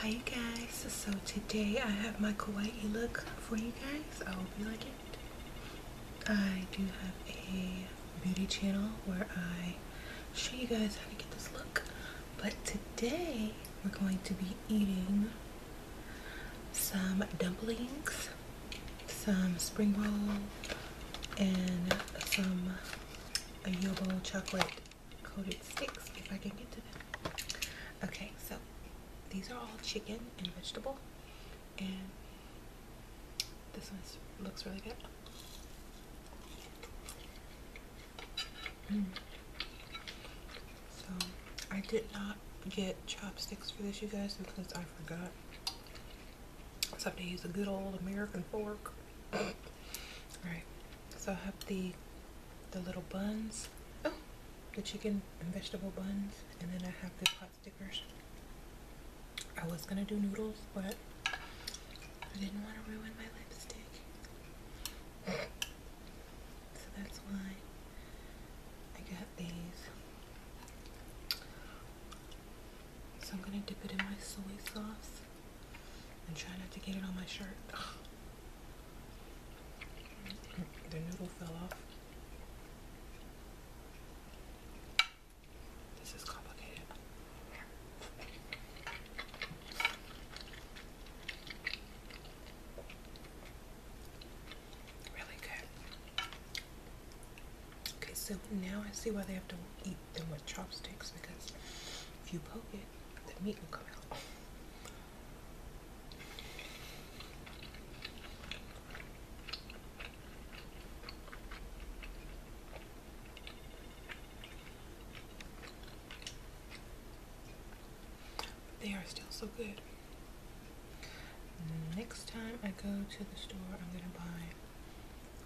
Hi guys, so today I have my kawaii look for you guys. I hope you like it. I do have a beauty channel where I show you guys how to get this look. But today we're going to be eating some dumplings, some spring roll, and some ayobo chocolate coated sticks if I can get to them. Okay, so these are all chicken and vegetable, and this one looks really good. Mm. So I did not get chopsticks for this, you guys, because I forgot. So I have to use a good old American fork. Alright, so I have the the little buns. Oh, the chicken and vegetable buns. And then I have the pot stickers. I was gonna do noodles, but I didn't want to ruin my lipstick. So that's why I got these. So I'm gonna dip it in my soy sauce. And try not to get it on my shirt. the noodle fell off. This is complicated. Really good. Okay, so now I see why they have to eat meat than with chopsticks because if you poke it, the meat will come out. They are still so good. Next time I go to the store, I'm going to buy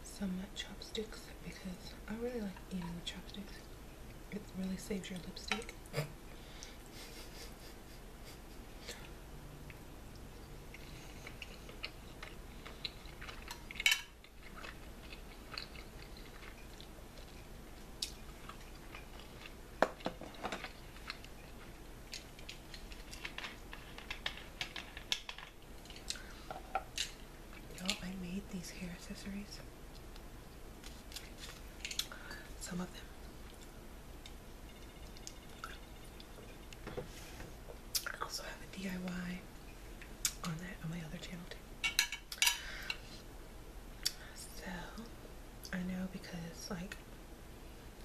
some chopsticks because I really like eating with chopsticks. It really saves your lipstick you I made these hair accessories. Some of them. I also have a DIY on that on my other channel too. So I know because like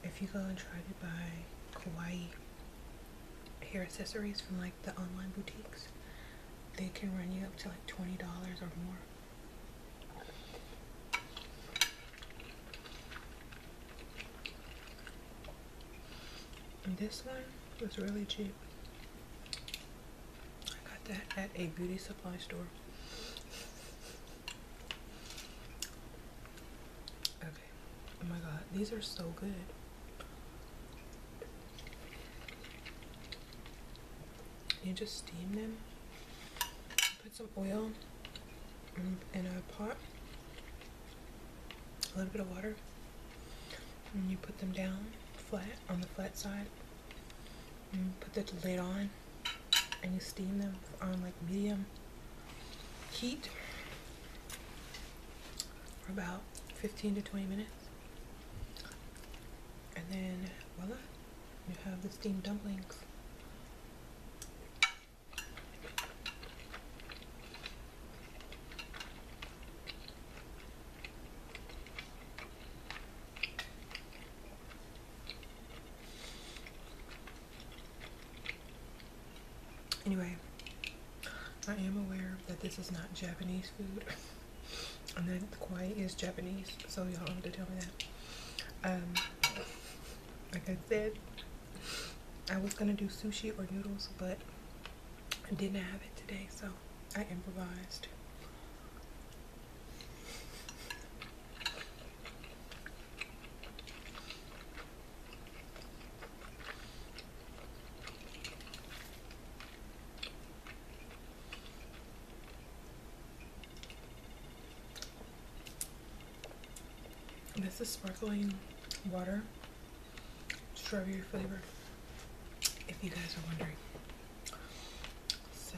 if you go and try to buy Hawaii hair accessories from like the online boutiques, they can run you up to like $20 or more. this one was really cheap. I got that at a beauty supply store. Oh my god, these are so good. You just steam them. Put some oil in a pot, a little bit of water, and you put them down flat on the flat side. And put the lid on, and you steam them on like medium heat for about 15 to 20 minutes. And then voila, you have the steamed dumplings. Anyway, I am aware that this is not Japanese food. and that the koi is Japanese, so y'all don't have to tell me that. Um, like I said, I was gonna do sushi or noodles, but I didn't have it today, so I improvised. This is sparkling water, strawberry flavor, if you guys are wondering. So,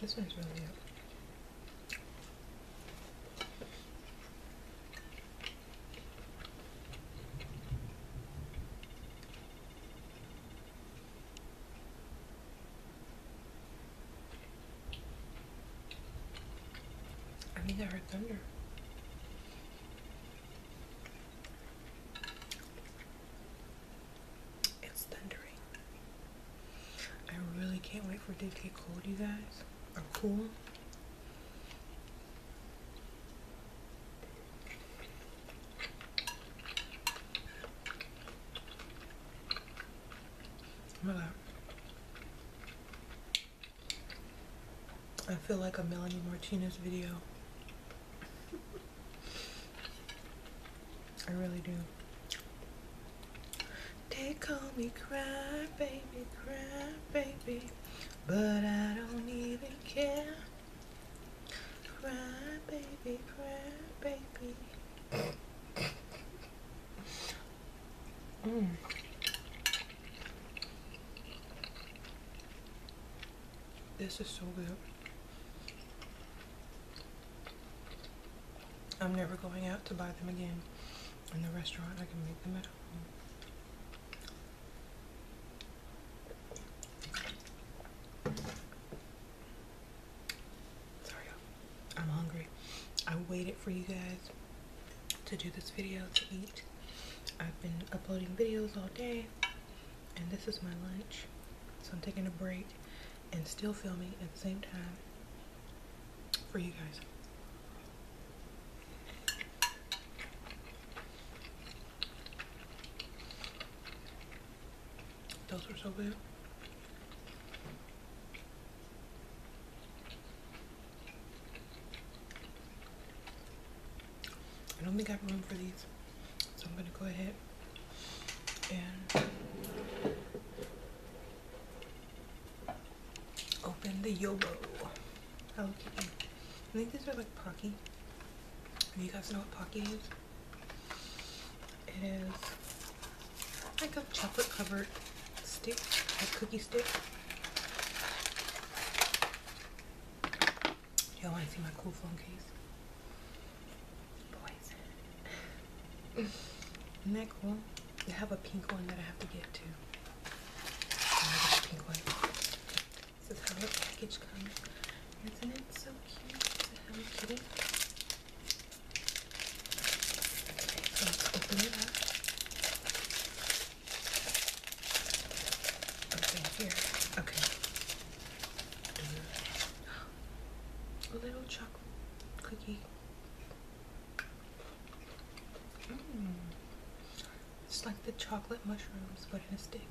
this one's really up. I think I heard thunder. It's thundering. I really can't wait for it to get cold, you guys. Or cool. Oh I feel like a Melanie Martinez video. I really do. They call me cry baby, cry baby, but I don't even care. Cry baby, cry baby. mm. This is so good. I'm never going out to buy them again in the restaurant. I can make them at home. Sorry, I'm hungry. I waited for you guys to do this video to eat. I've been uploading videos all day and this is my lunch. So I'm taking a break and still filming at the same time for you guys. Those are so good. I don't think I have room for these. So I'm gonna go ahead and open the Yobo Okay, I think these are like Pocky. Do you guys know what Pocky is? It is like a chocolate covered stick, a cookie stick. Y'all want to see my cool phone case? Isn't that cool? I have a pink one that I have to get too. This is how the package comes. Isn't it so cute? Okay, here. Okay. A little chocolate cookie. Mm. It's like the chocolate mushrooms, but in a stick.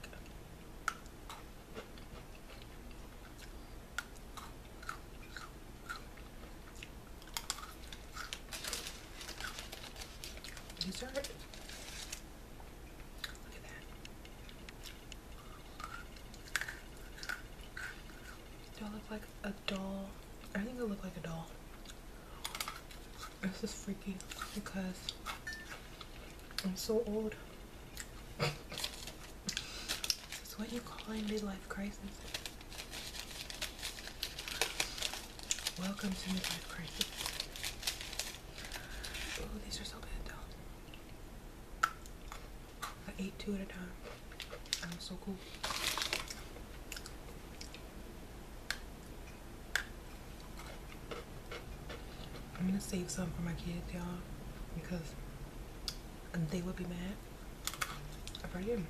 Dessert. that. Do I look like a doll? I think I look like a doll. This is freaky because I'm so old. It's what you call in midlife crisis. Welcome to Midlife Crisis. Oh, these are so good though. I ate two at a time. I'm so cool. I'm gonna save some for my kids, y'all, because and they will be mad about you.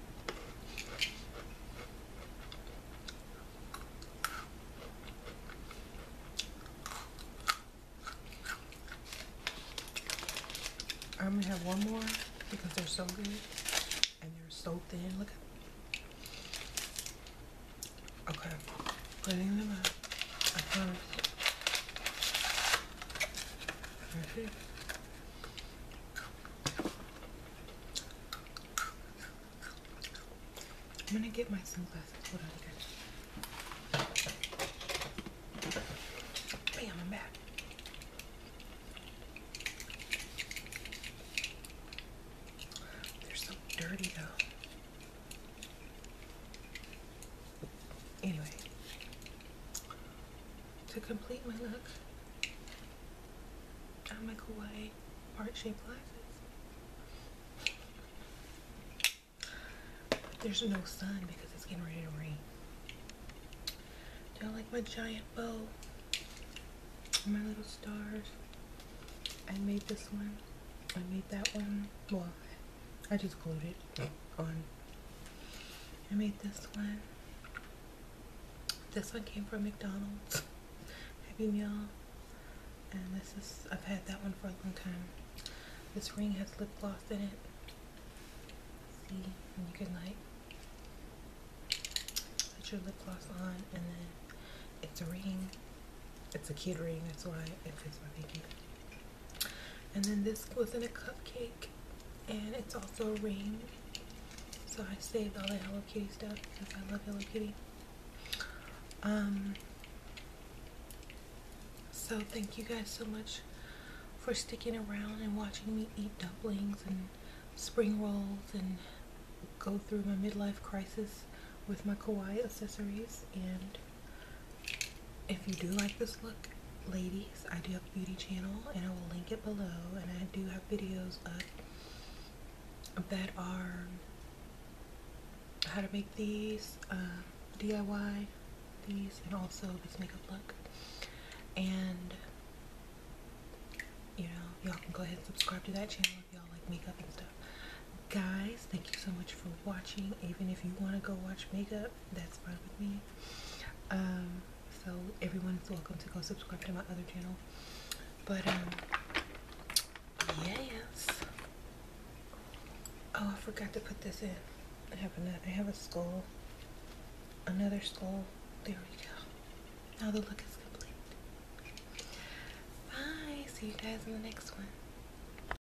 I'm gonna have one more because they're so good and they're so thin. Look at Okay, putting them up. Uh-huh. I I'm gonna get my sunglasses. Hold on, guys. Bam, I'm back. They're so dirty though. Anyway, to complete my look, I my kawaii heart-shaped glasses. There's no sun because it's getting ready to rain. Do I like my giant bow? My little stars. I made this one. I made that one. Well, I just glued it oh. on. I made this one. This one came from McDonald's. Happy Meal. And this is, I've had that one for a long time. This ring has lip gloss in it. See, and you can like put your lip gloss on and then it's a ring. It's a kid ring, that's why it fits my pinky. And then this was in a cupcake and it's also a ring. So I saved all the Hello Kitty stuff because I love Hello Kitty. Um, so thank you guys so much for sticking around and watching me eat dumplings and spring rolls and go through my midlife crisis with my kawaii accessories and if you do like this look, ladies, I do have a beauty channel and I will link it below. And I do have videos up that are how to make these, uh, DIY these, and also this makeup look. And you know, y'all can go ahead and subscribe to that channel if y'all like makeup and stuff. Guys, thank you so much for watching. Even if you want to go watch makeup, that's fine with me. Um, so everyone is welcome to go subscribe to my other channel. But um, yes. Oh, I forgot to put this in. I have another. I have a skull. Another skull. There we go. Now the look is complete. Bye. See you guys in the next one.